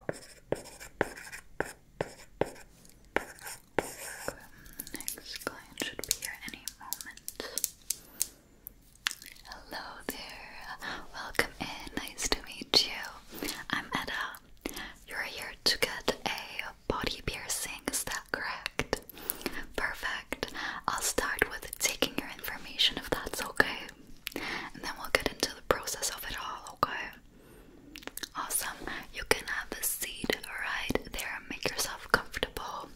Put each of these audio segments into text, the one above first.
Next client should be here any moment. Hello there. Welcome in. Nice to meet you. I'm Eda. You're here to get a body piercing, is that correct? Perfect. I'll start with taking your information if that's okay. And then we'll get into the process of it all, okay? Awesome. You can have a seat right there. Make yourself comfortable.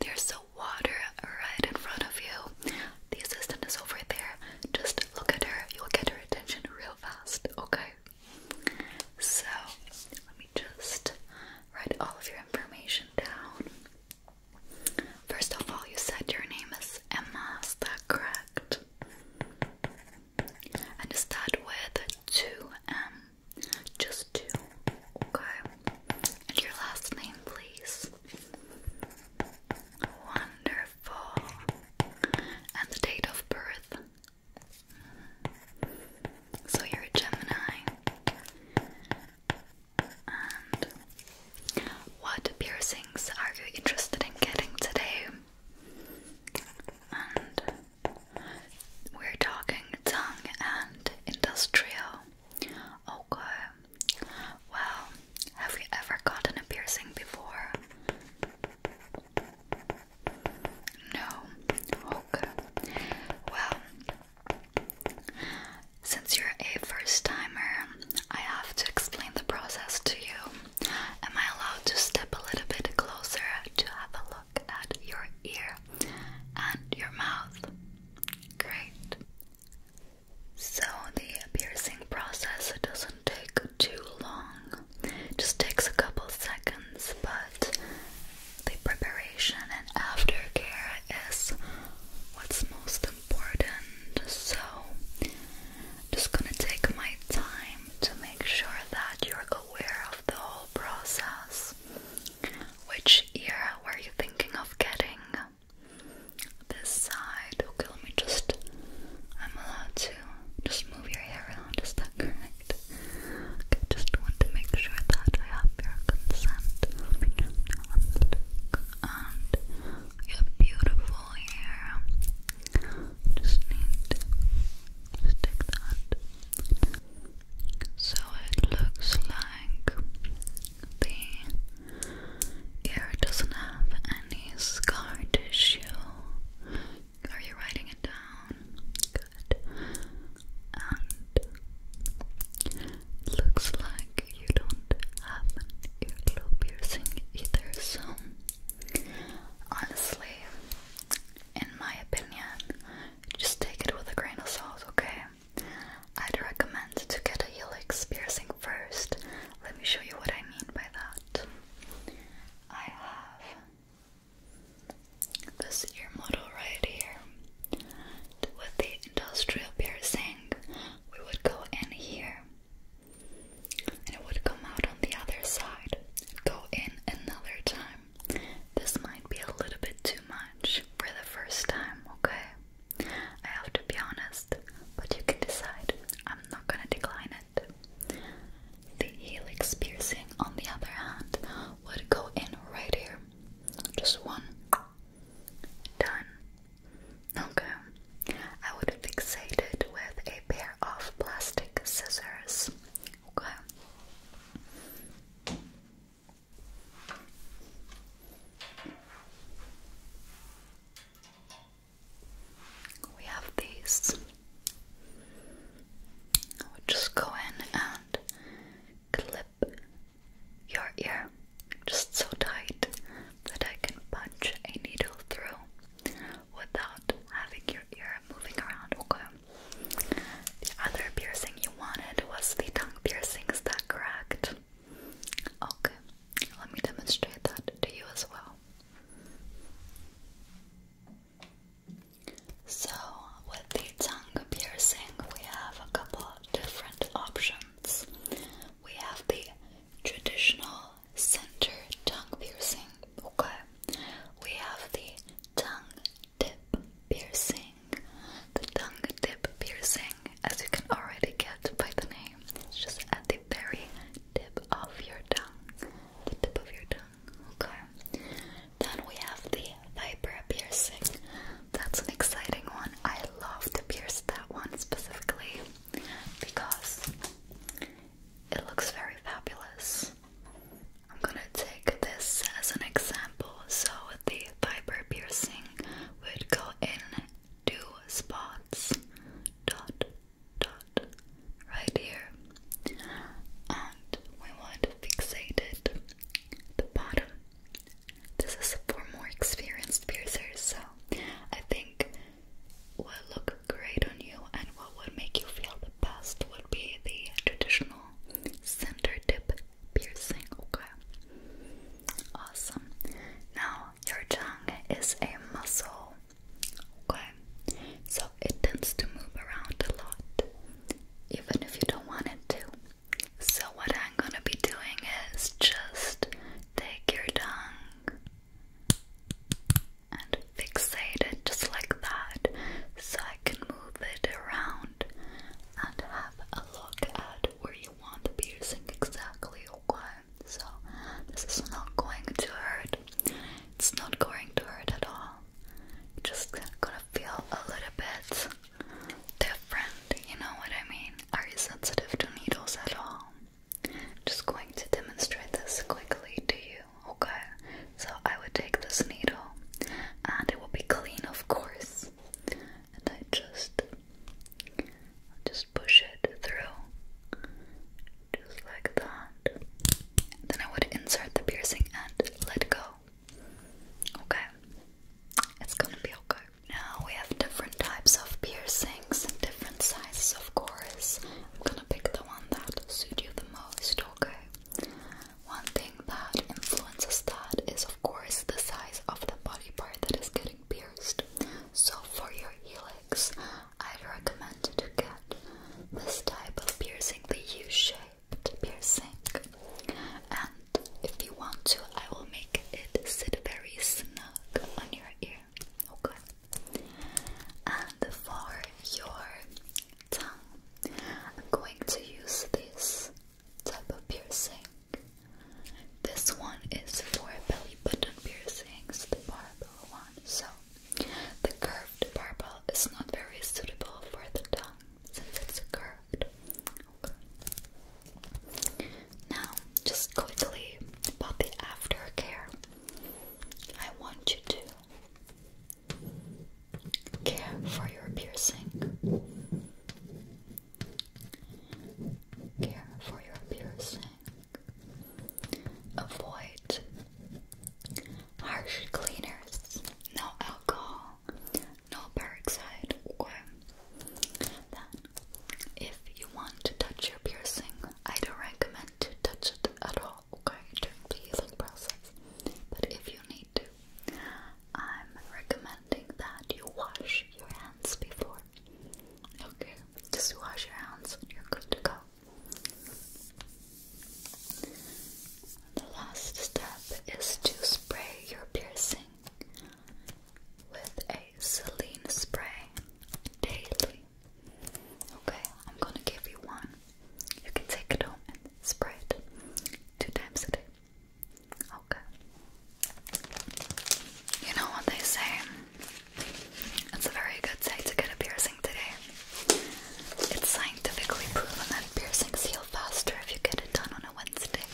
There's a water right in front of you. The assistant is over there. Just look at her. You'll get her attention real fast. Okay. So let me just write all of your information down. First of all, you said your name is Emma, is that correct? and start with two M, just two, okay? And your last name, please. Wonderful. And the date of birth. So you're a Gemini. And what piercings are you interested in getting today? we're talking tongue and industrial. Okay. Well, have you ever gotten a piercing before? No. Okay. Well, since you're a first timer, I have to explain the process to you. Am I allowed to step a little bit closer to have a look at your ear and your mouth? Great. So the piercing process doesn't take too long. It just takes a couple seconds, but the preparation and aftercare is what's most important. So just gonna take my time to make sure that you're aware of the whole process. Which ear were you thinking of getting? This side. Okay, let me just. I'm allowed to just move your hair around, is that correct? Okay, just want to make sure that I have your consent. And you have beautiful hair. Just need to stick that. So it looks like the ear doesn't have any scar tissue. Are you writing it down? Good. And looks like you don't have an earlobe piercing either, so Honestly, in my opinion, just take it with a grain of salt, okay? I'd recommend to get a helix piercing first. Let me show you what I mean by that. I have this ear model right here. With the industrial piercing, we would go in here it would come out on the other side go in another time. This might be a little bit too much for the first time, okay? I have to be honest, but you can decide. I'm not gonna decline it. The helix piercing, on the other hand, would go in right here. Just one. Done. Okay. I would fixate it with a pair of plastic scissors. Okay. We have these. I would just go in and clip your ear just so tight that I can punch a needle through without having your ear moving around, okay? The other piercing you wanted was the tongue piercing, is that Okay, let me demonstrate that to you as well. So, with the tongue piercing, we have a couple different options. We have the traditional center tongue piercing. Okay, we have the tongue tip piercing. The tongue tip piercing, as you can already get by the name, it's just at the very tip of your tongue. The tip of your tongue. Okay. Then we have the vibra piercing. That's an exciting one. I love to pierce that one specifically because it looks very fabulous. I'm gonna take this as an example. So the fiber piercing would go in two spots, dot, dot, right here, and we want to fixate it the bottom. This is for more experienced piercers, so I think we will look great on you and what would make you feel the best would be the traditional center tip piercing, okay? Awesome. Now, your tongue is a muscle, okay? So it tends to move around a lot, even if you don't want it to. So, what I'm gonna be doing is just take your tongue and fixate it just like that so I can move it around and have a look at where you want the piercing exactly so this is not going to hurt it's not going to hurt at all just gonna feel a little bit different you know what I mean are you sensitive to needles at all I'm just going to demonstrate this quickly to you, okay? So I would take this needle and it will be clean of course. And I just just push it through just like that. Then I would insert the piercing and let go. Okay. It's gonna be okay. Now we have different types of piercings and different sizes of course. I'm gonna pick the one that suits you the most, okay? One thing that influences that is, of course, the size of the body part that is getting pierced. So, for your helix, I'd recommend to get this type of piercing, the U shaped piercing. And if you want to, I will make it sit very snug on your ear, okay? And for your tongue, I'm going to use this type of piercing. This one is for belly button piercings, the barbell one. So the curved barbell is not very suitable for the tongue since it's curved. Now, just quickly about the aftercare. I want you to care for your piercing. Care for your piercing. Avoid harsh cleaners, no alcohol, no peroxide. Okay. Then, if you want to touch your piercing, I don't recommend to touch it at all, okay, during the healing process. But if you need to, I'm recommending that you wash your hands before. Okay, just wash your hands and you're good to go. The last step is to spray your piercing with a saline spray daily. Okay, I'm gonna give you one. You can take it home and spray it two times a day. Okay. You know what they say? It's a very good day to get a piercing today. It's scientifically proven that piercings heal faster if you get it done on a Wednesday.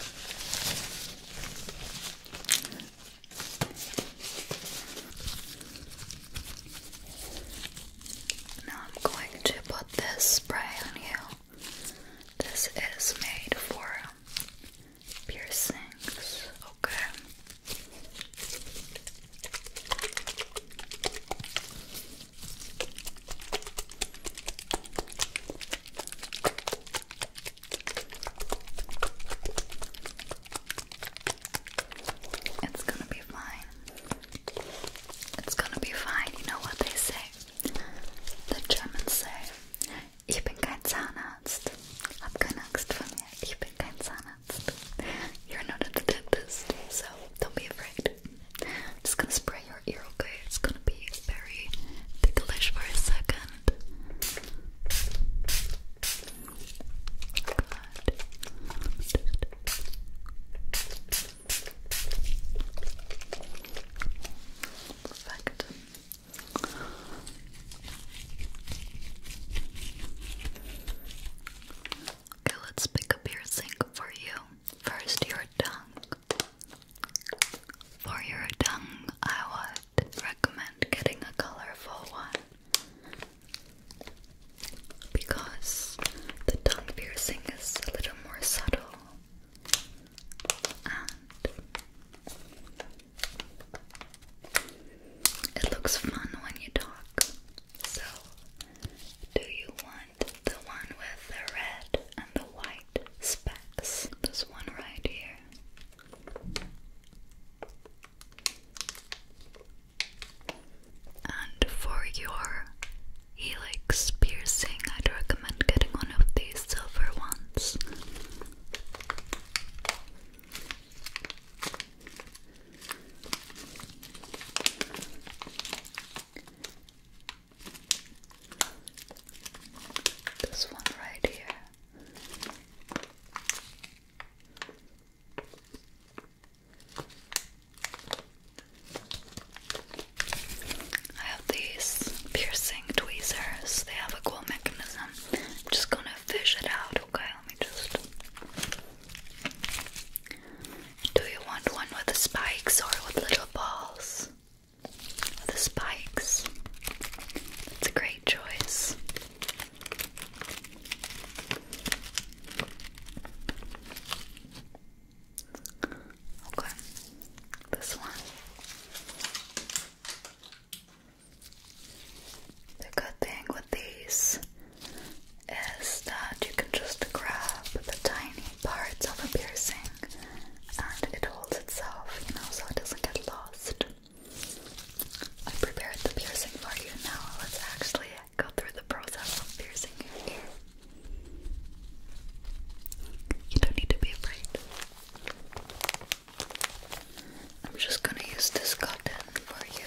Now I'm going to put this spray on you. This is made for piercings, okay? It's gonna be fine. It's gonna be fine. You know what they say? The Germans say, ich bin kein Zahnarzt. Hab keine Angst vor mir. Ich bin kein Zahnarzt. You're not at dentist, so don't be afraid. just gonna spray your ear, okay? It's gonna be very ticklish for a second. Perfect. Okay, let's pick a piercing for you. First, your tongue. For your tongue, I would recommend getting a colorful one because the tongue piercing is a little more subtle and it looks fun when you talk. So, do you want the one with the red and the white specks? This one right here. And for your helix piercing, I'd recommend getting one of these silver ones. This one right here. I have these piercing tweezers. They have a cool mechanism. I'm just gonna fish it out, okay? Let me just. Do you want one with the spikes or with little balls? With the spikes. That's a great choice. Okay, this one. The good thing with these is that you can just grab the tiny parts of a piercing and it holds itself, you know, so it doesn't get lost. I prepared the piercing for you now. Let's actually go through the process of piercing your You don't need to be afraid. I'm just gonna use this cotton for you.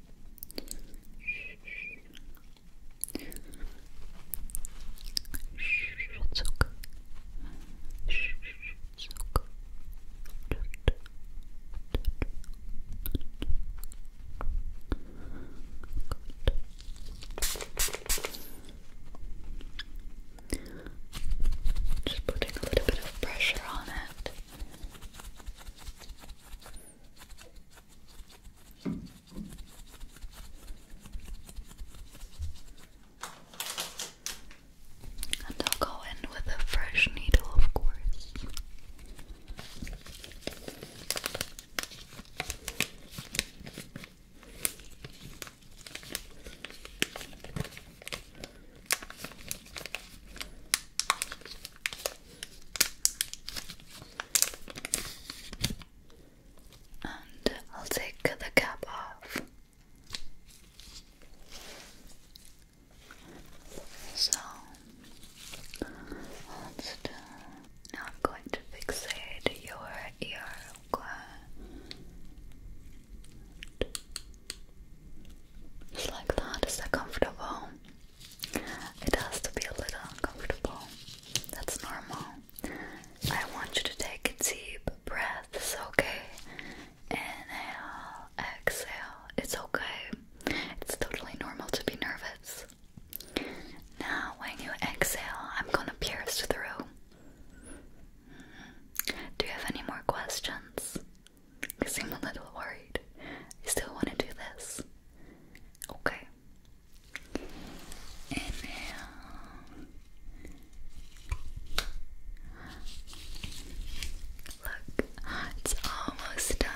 It's okay. It's okay. Just putting a little bit of pressure on it. And I'll go in with a fresh needle, of course. And I'll take the cap off. So Now I'm going to fixate your ear. Okay. Just like that. Is that comfortable? It has to be a little uncomfortable. That's normal. I want you to take a deep breaths, okay? Inhale, exhale. It's okay. It's totally normal to be nervous. Now, when you exhale, I'm gonna pierce through. Mm-hmm. Do you have any more questions? I seem a little worried. I still want to do this. Okay. Inhale. Look, it's almost done.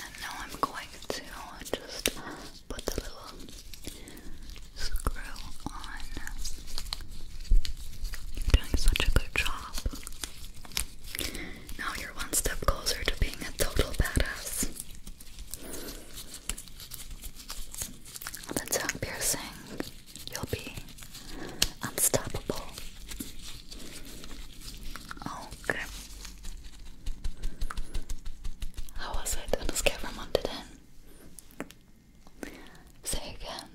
And now I'm going to just put the little screw on. You're doing such a good job. Now you're one step closer to being a total badass. With That's tongue piercing. You'll be unstoppable. Okay. How was it on a scale from 1 to Say again.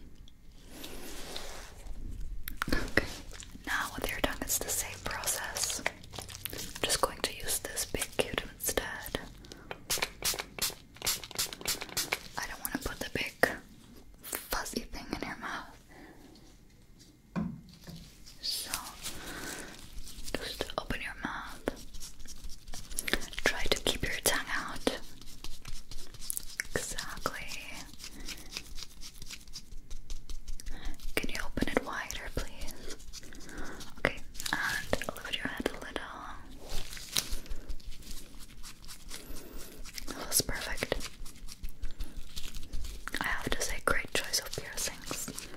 Okay. Now with your tongue it's the same process. I'm just going to use this big cute instead. I don't want to put the big fuzzy thing in your mouth. So, just open your mouth. Try to keep your tongue out. Exactly. Can you open it wider, please? Okay, and lift your head a little. That was perfect. I have to say, great choice of piercings.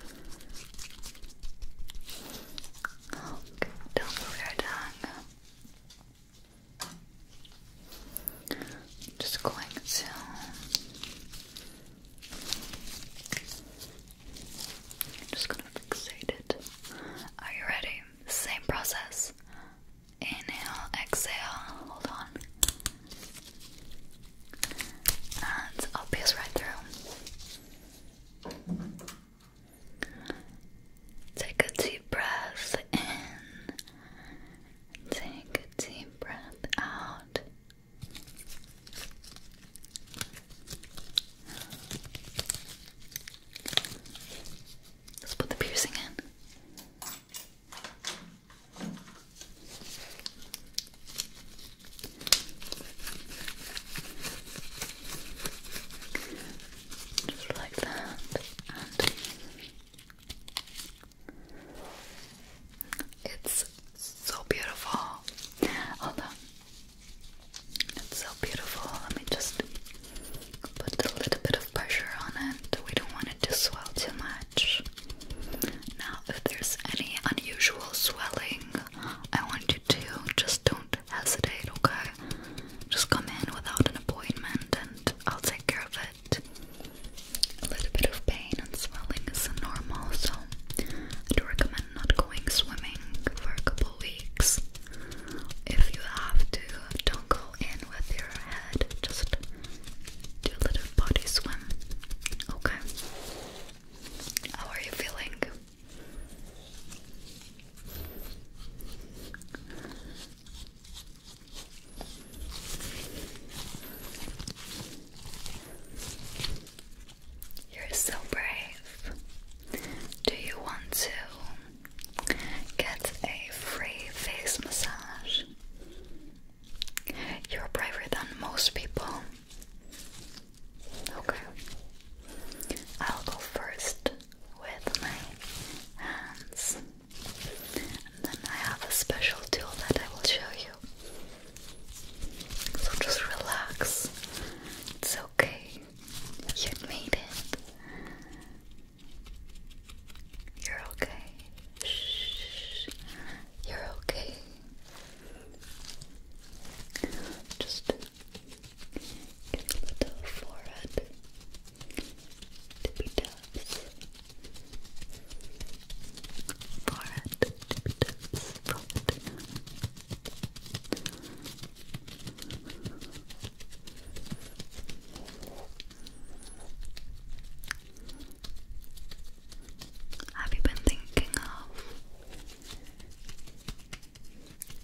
don't move your tongue. Just going to. I'm just gonna fixate it. Are you ready? Same process. Inhale, exhale, hold on. And I'll pierce right through. Take a deep breath in. Take a deep breath out. Let's put the piercing in. Just like that, and it's so beautiful. Hold on, it's so beautiful. Let me just put a little bit of pressure on it. We don't want it to swell too much. Now, if there's any unusual swelling, I want you to just don't hesitate, okay? Just come in without an appointment and I'll take care of it. A little bit of pain and swelling is normal, so I do recommend not going swimming for a couple weeks. If you have to, don't go in with your head, just do a little body swim. Okay. How are you feeling? You're so brave. Do you want to get a free face massage? You're braver than most people. Okay. I'll go first with my hands. And then I have a special tool that I will show you. So just relax. It's okay. You made it. You're okay. Shh. You're okay. Just give a little forehead tippy taps. Forehead tippy taps. Forehead. Have you been thinking of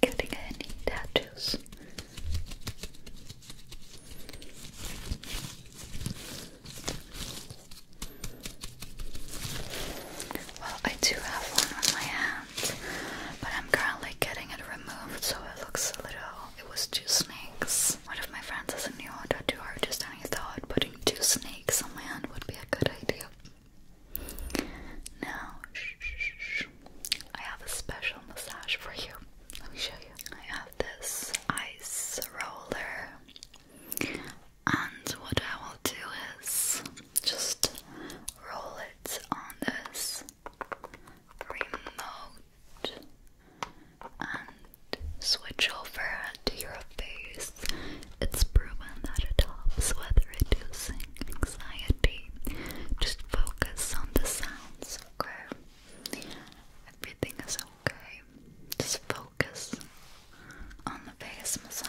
getting any tattoos? Well, I do have one on my hand, but I'm currently getting it removed so it looks a little. It was two snakes. One of my friends has a new tattoo artist and I thought putting two snakes on my hand would be a good idea. Now, shh, shh, shh. I have a special massage for you. Let me show you. I have this ice roller, and what I will do is just roll it on this remote and switch over to your face. It's proven that it helps with reducing anxiety. Just focus on the sounds, okay? Everything is okay. Just focus on the face massage.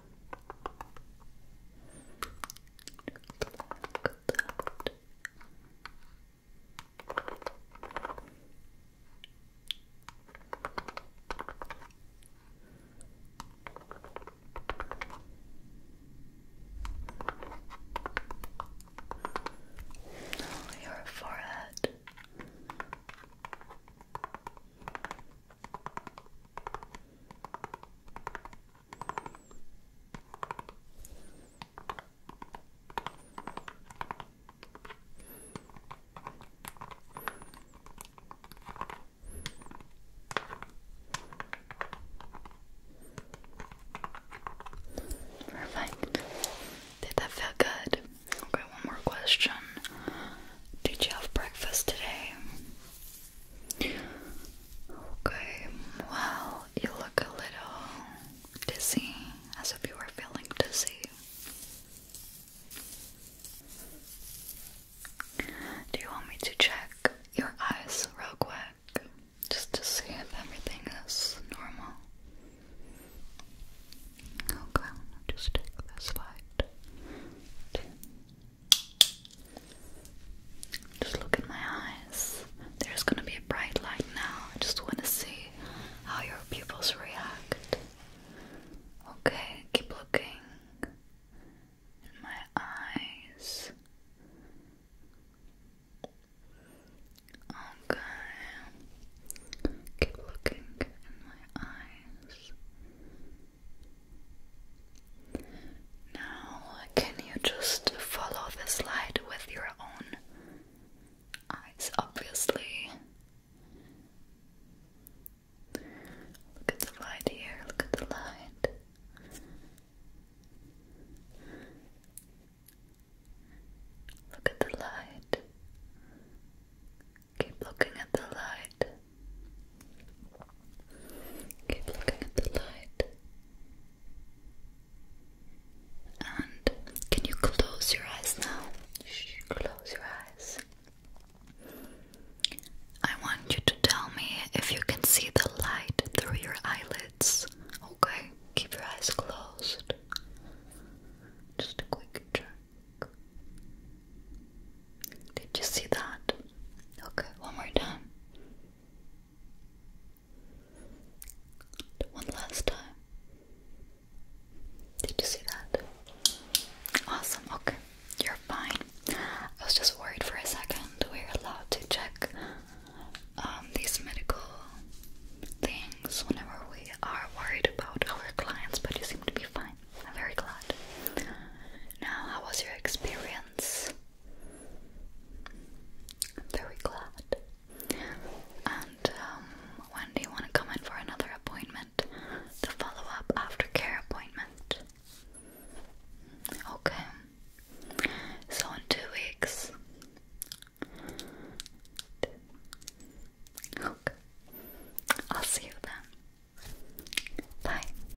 Oh, your forehead. Perfect. Did that feel good? Okay, one more question. Did you have breakfast today? Okay, well, you look a little dizzy, as if you were feeling dizzy. Do you want me to check your eyes real quick? Just to see if everything is normal. Okay, just take this light. Just look in my eyes. There's gonna be a bright light now. I just wanna see how your pupils react. Okay, keep looking in my eyes. Okay, keep looking in my eyes. Now, can you just follow this light with your own eyes? Obviously, look at the light here, look at the light. Look at the light. Keep looking at the light. Keep looking at the light. And can you close your eyes now? Shh, close your eyes. I want you to tell me if you can see the light through your eyelids. Okay, keep your eyes closed. Just a quick check. Did you see that? Okay, one more time. One last time. Did you see that? Awesome, okay. You're fine. I was just worried for a second. We're allowed to check um, these medical things whenever we are worried about our clients, but you seem to be fine. I'm very glad. Now, how was your experience? I'm very glad. And um, when do you want to come in for another appointment? The follow up aftercare appointment. Okay. So in two weeks. Okay. I'll see you then. Bye.